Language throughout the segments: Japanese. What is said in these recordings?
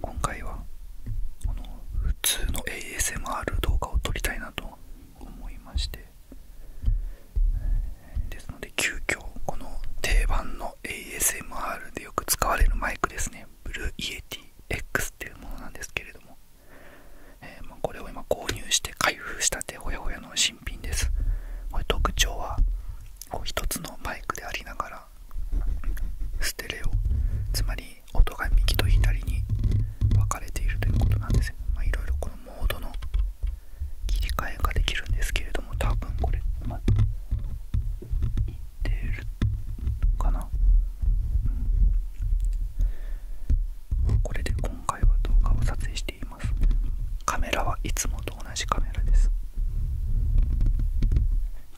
今回はこの普通の ASMR 動画を撮りたいなと思いましてですので急遽この定番の ASMR でよく使われるマイクですねブルーイエティ X っていうものなんですけれども、えまこれを今購入して開封したてほやほやの新品ですこれ特徴はこう1つのマイクでありながらステレオつまり音が右と左に分かれているということなんですよいろいこのモードの切り替えができるんですけれども多分これうまいってるかな、うん、これで今回は動画を撮影していますカメラはいつもと同じカメラです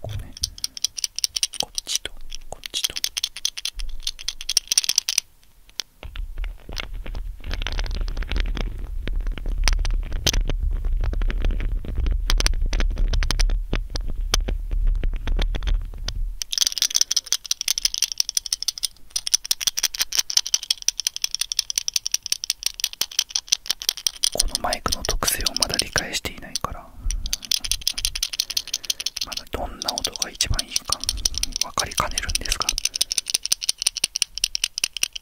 こうねこっちとこっちとこのマイクの特性をまだ理解していないからまだどんな音が一番いいか分かりかねるんですが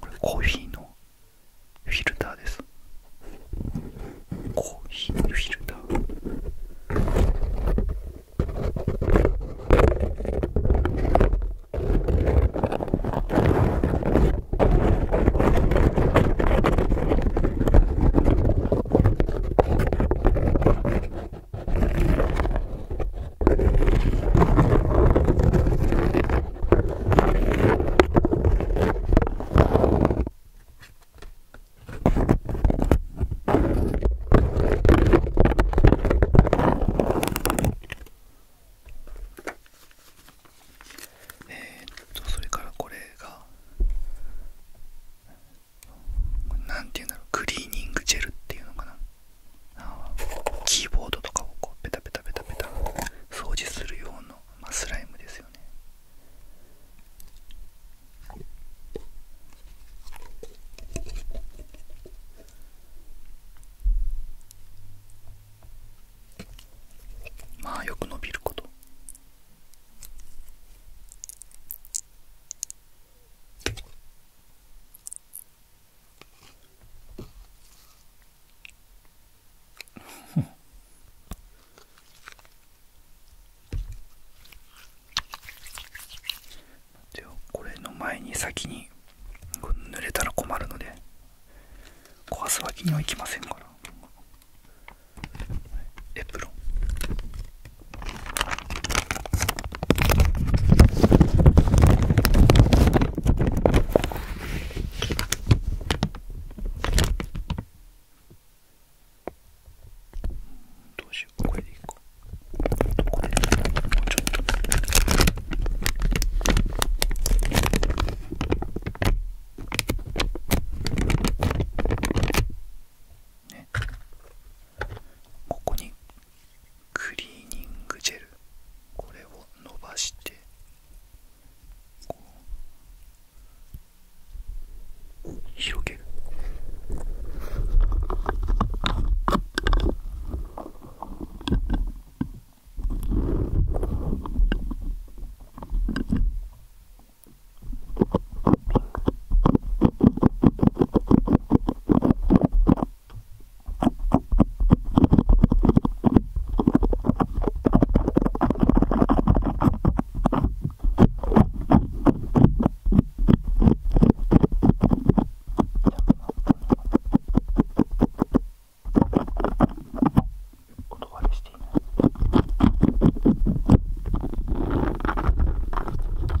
これコーヒーのフィルターですコーヒーのフィルターこえっとそれからこれが何ていうんだろうクリーニングジェルっていうのかなキーボードとかをこうペタペタペタペタ掃除する用の、まあ、スライムですよねまあよく伸びることでは、これの前に先に濡れたら困るので壊すわけにはいきませんからエプロンどうしようこれでいいかこれでもうちょっとねここにクリーニングジェルこれを伸ばして広げるお断りしていない。うん、そうだな。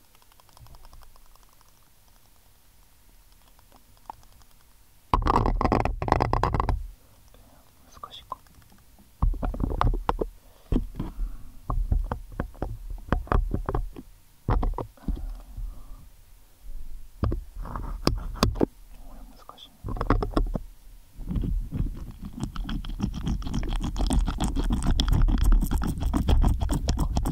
難しいかこ難しい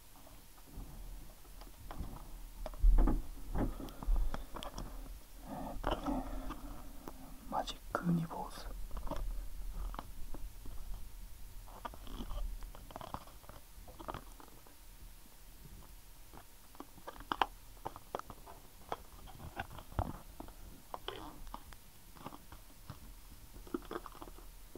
えっとねマジックウニ坊主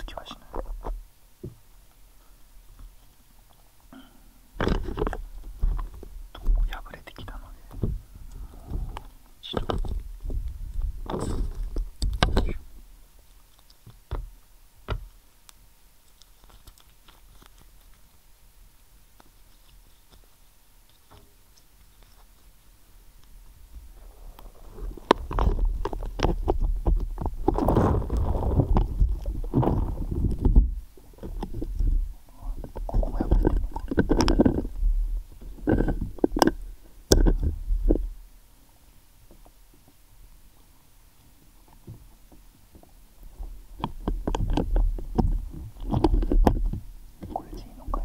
つきはしない。破れてきたので一度ここもやばいのかこれでいいのかい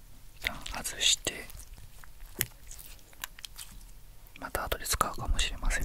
外してまた後で使うかもしれません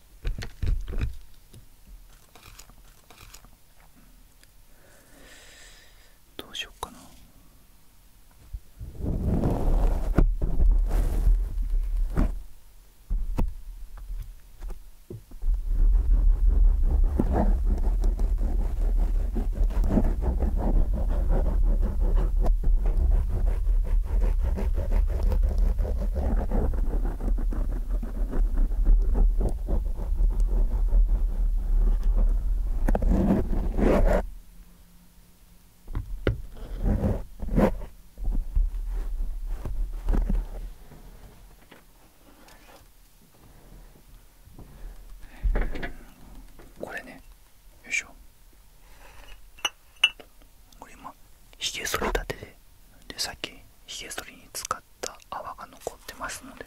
どうしようかなこれねよいしょこれ今ひげ剃り立てででさっきひげ剃りに使った泡が残ってますので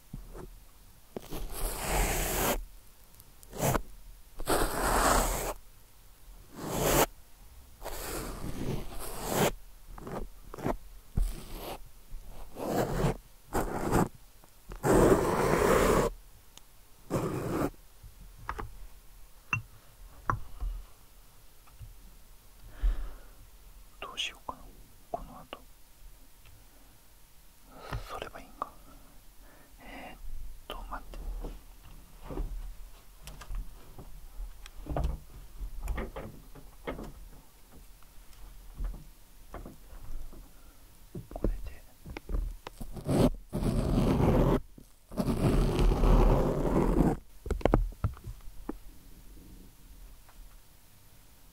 どうしようかなこの後それはいいんかえー、っと待ってこれで。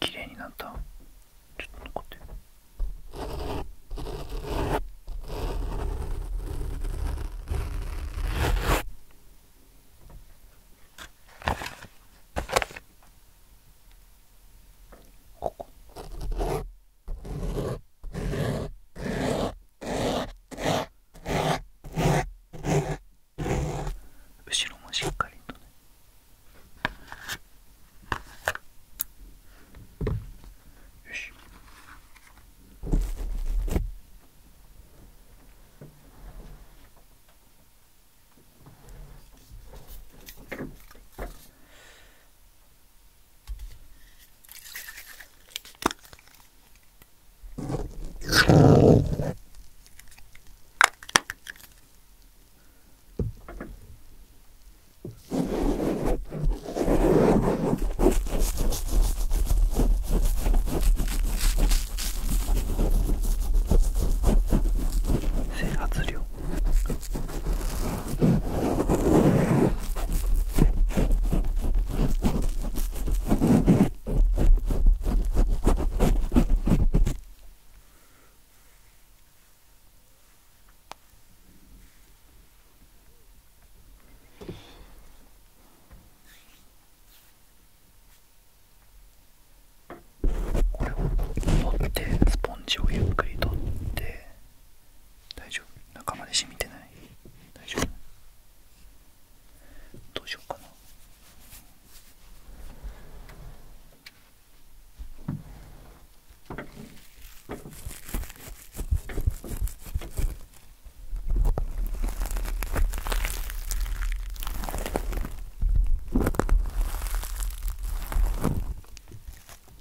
綺麗になったちょっと残ってここ。後ろもしっかりとねよし整髪量これを持ってスポンジをゆっくり取って大丈夫中まで染みてない大丈夫どうしようかな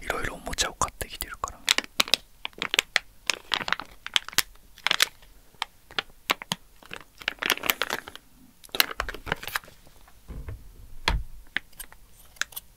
いろいろおもちゃを買ってきてるから。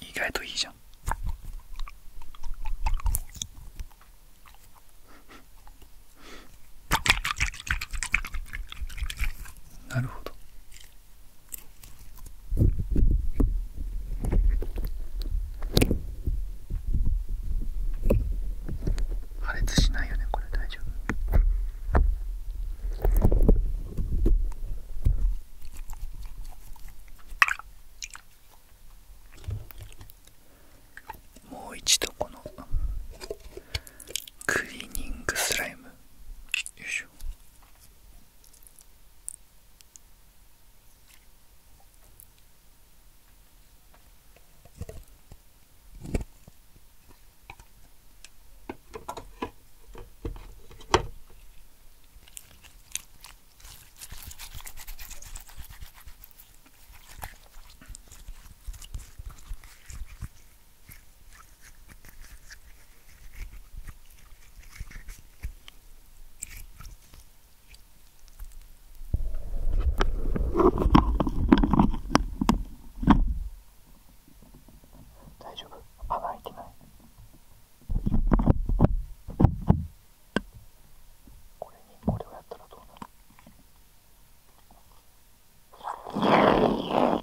意外といいじゃんなるほど破裂しないよねこれ大丈夫もう一度このクリーニングスライムよいしょ大丈夫穴開いてないこれにこれをやったらどうなる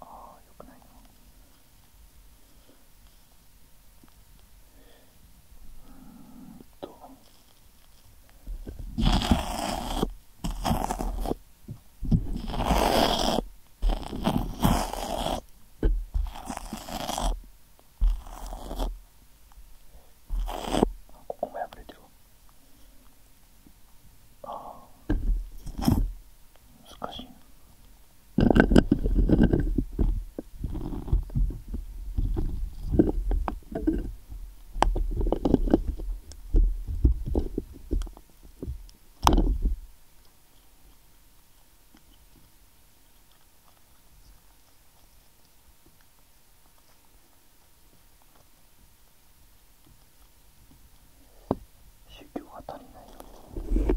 ああよくないなうんとあここも破れてるあ難しい修行が足りないのよ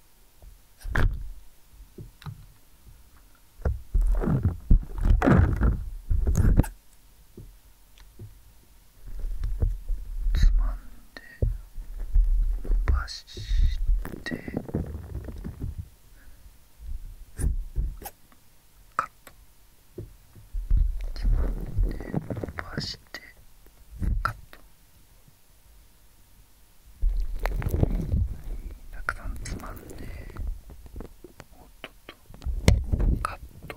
つまんで伸ばしてカットつまんで伸ばしてカット。たくさんつまんでおっとっとカット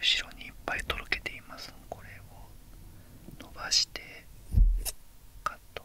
後ろにいっぱいとろけていますこれを伸ばしてカット